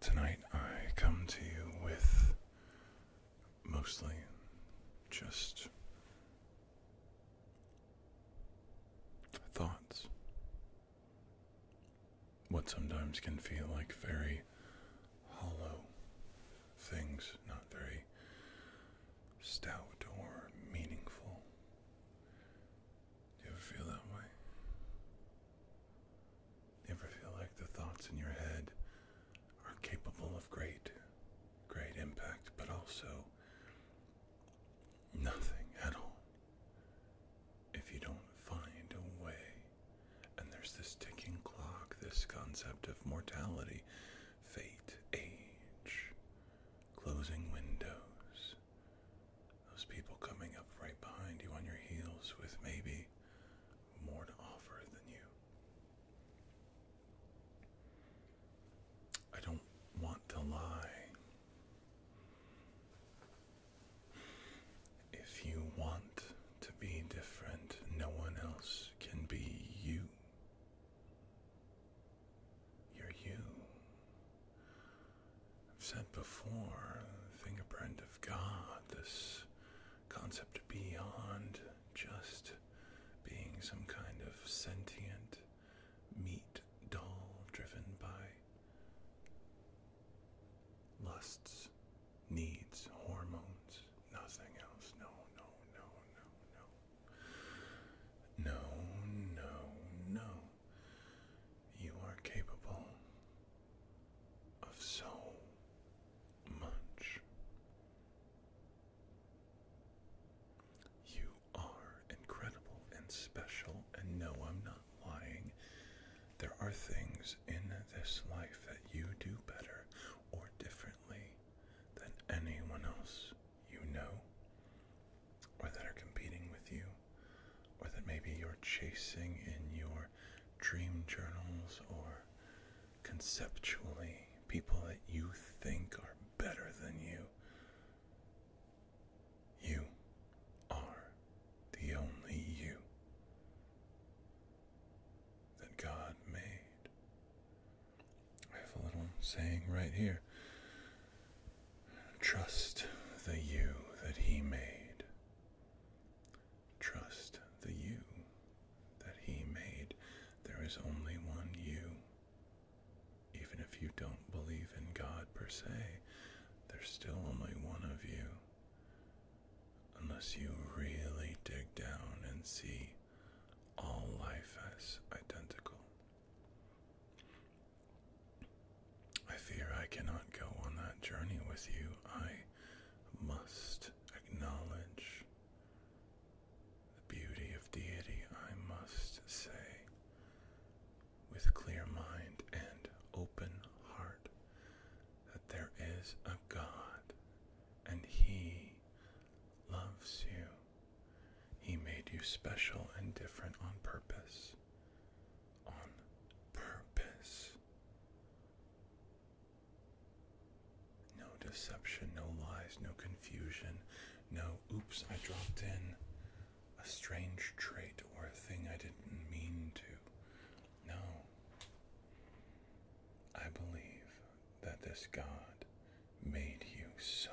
Tonight I come to you with mostly just thoughts. What sometimes can feel like very hollow things, not very stout or meaningful. Do you ever feel that way? You ever feel like the thoughts in your head are capable of great, great impact, but also nothing at all? If you don't find a way, and there's this ticking clock, this concept of mortality, fate, age, closing windows, those people coming up right behind you on your heels with maybe more to offer than you. I don't want to lie. If you want to be different, no one else can be you. You're you. I've said before, the fingerprint of God, this concept beyond just being some kind of sentient meat doll driven by lusts, needs, hormones, nothing else. No, no, no, no, no. No, no, no. You are capable of so much. You are incredible and special, and no, I'm not lying. There are things in this life that you do better or differently than anyone else you know, or that are competing with you or that maybe you're chasing in your dream journals or conceptually people that you think are better than you. You are the only you that God made. I have a little saying right here. Trust the you that He made. Trust the you that he made. There is only one you. Even if you don't believe in God per se, there's still only one of you. Unless you really dig down and see all life as identical. I fear I cannot go on that journey with you. I must acknowledge the beauty of deity, I must say, with clear mind and open heart, that there is a God and He loves you. He made you special and different on purpose on purpose. No deception, no lies, no confusion, no oops, I dropped in a strange trait or a thing I didn't mean to. No. I believe that this God made you so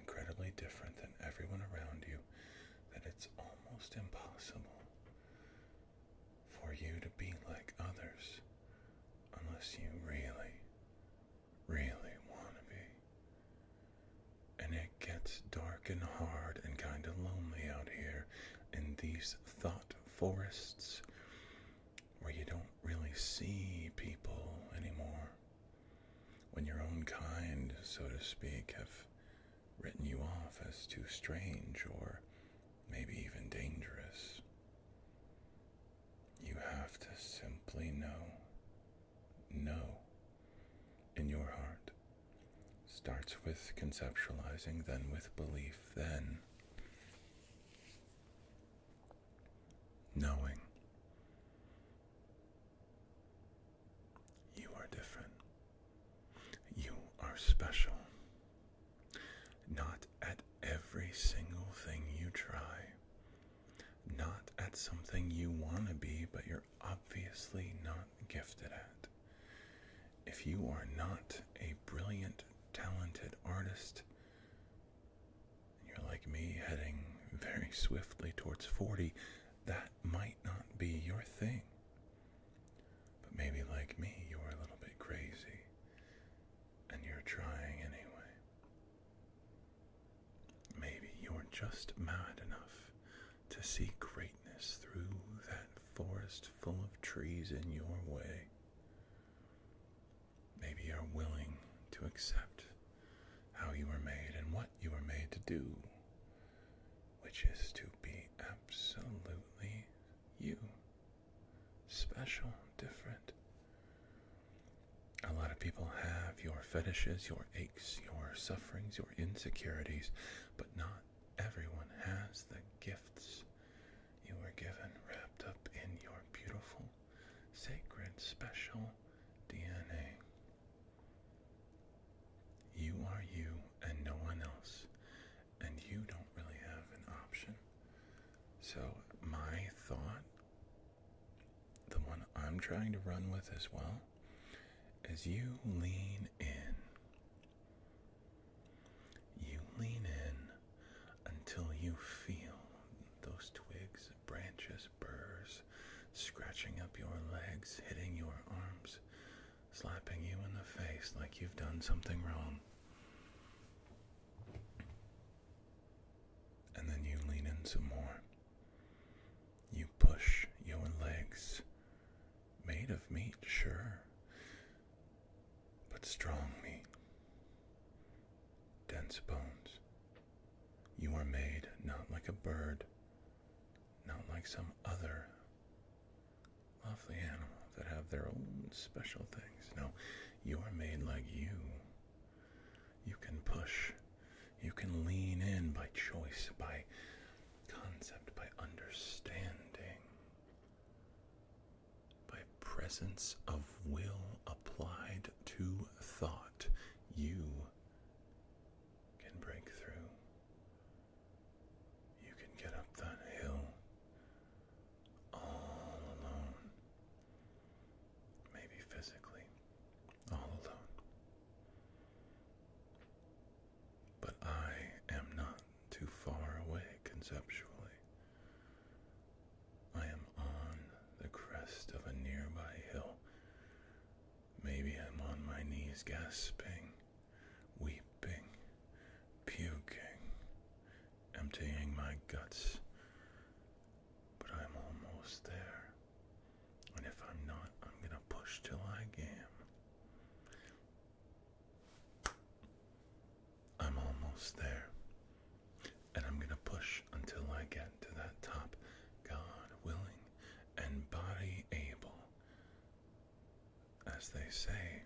incredibly different than everyone around you that it's almost impossible for you to be like others unless you really, really want to be. And it gets dark and hard and kind of lonely out here in these thought forests where you don't really see people anymore. When your own kind, so to speak, have written you off as too strange or maybe even dangerous. You have to simply know, know in your heart. Starts with conceptualizing, then with belief, then knowing. You are different. You are special. Not at every single thing you try, not at something you want to be, but you're obviously not gifted at. If you are not a brilliant, talented artist, you're like me heading very swiftly towards 40 that might not be your thing. But maybe, like me, you're a little bit crazy and you're trying anyway. Maybe you're just mad enough to see greatness through that forest full of trees in your way. Maybe you're willing to accept how you were made and what you were made to do which is to be absolutely you. Special, different. A lot of people have your fetishes, your aches, your sufferings, your insecurities, but not everyone has the gifts you were given wrapped up in your beautiful, sacred, special DNA. You are you and no one else, and you don't really have an option. So, my thought, the one I'm trying to run with as well, is you lean in. You lean in until you feel those twigs, branches, burrs scratching up your legs, hitting your arms, slapping you in the face like you've done something wrong. And then you lean in some more. You push your legs, made of meat, sure, but strong meat, dense bones. You are made not like a bird, not like some other lovely animal that have their own special things. No, you're made like you. You can push, you can lean in by choice, by concept, by understanding, by presence of will applied to thought. You can break through. You can get up that hill all alone. Maybe physically, all alone. But I am not too far away conceptually. I am on the crest of a nearby hill. Maybe I'm on my knees gasping weeping, puking, emptying my guts. But I'm almost there. And if I'm not, I'm gonna push till I am. I'm almost there. And I'm gonna push until I get to that top, God willing and body able. As they say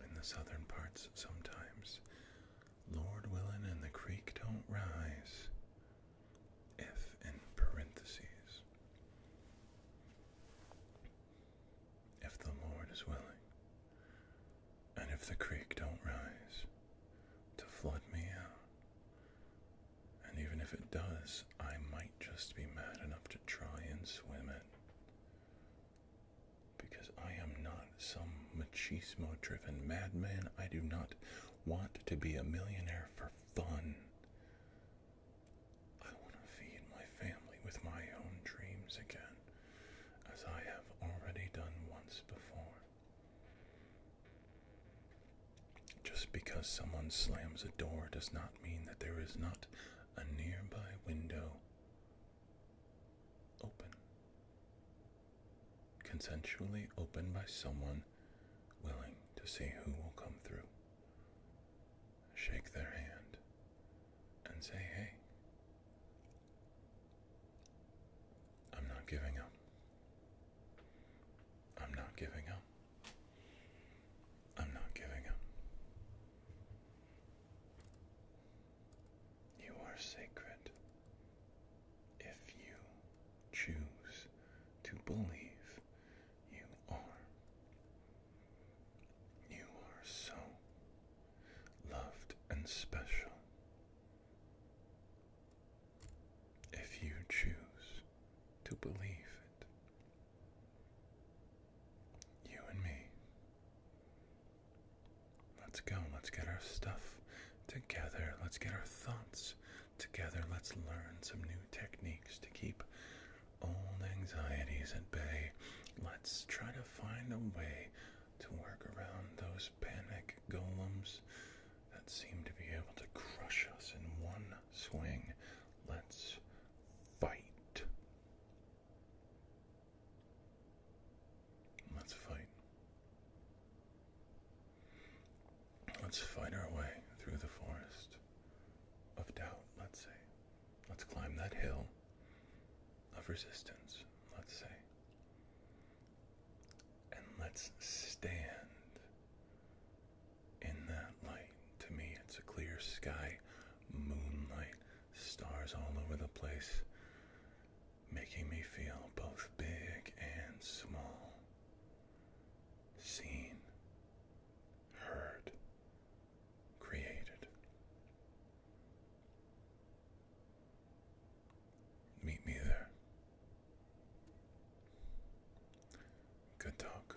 in the southern parts sometimes, Lord willin' and the creek don't rise, if in parentheses. If the Lord is willing, and if the creek don't rise to flood me out, and even if it does I might just be mad enough to try and swim it. Because I am not some machismo driven madman. I do not want to be a millionaire for fun. I want to feed my family with my own dreams again, as I have already done once before. Just because someone slams a door does not mean that there is not a nearby window open. Consensually opened by someone willing to see who will come through. Shake their hand and say, hey, I'm not giving up. I'm not giving up. I'm not giving up. You are sacred if you choose to believe you are. You are so loved and special if you choose to believe it. You and me. Let's go. Let's get our stuff together. Let's get our thoughts together. Let's learn some new techniques to keep old anxieties at bay. Let's try to find a way to work around those panic golems that seem to be able to crush us in one swing. Let's fight. Let's fight. Let's fight our way through the forest of doubt, let's say. Let's climb that hill of resistance, let's say. And let's stand in that light. To me, it's a clear sky moonlight, stars all over the place, making me feel both big and small. Seen, heard, created. Meet me there. Good talk.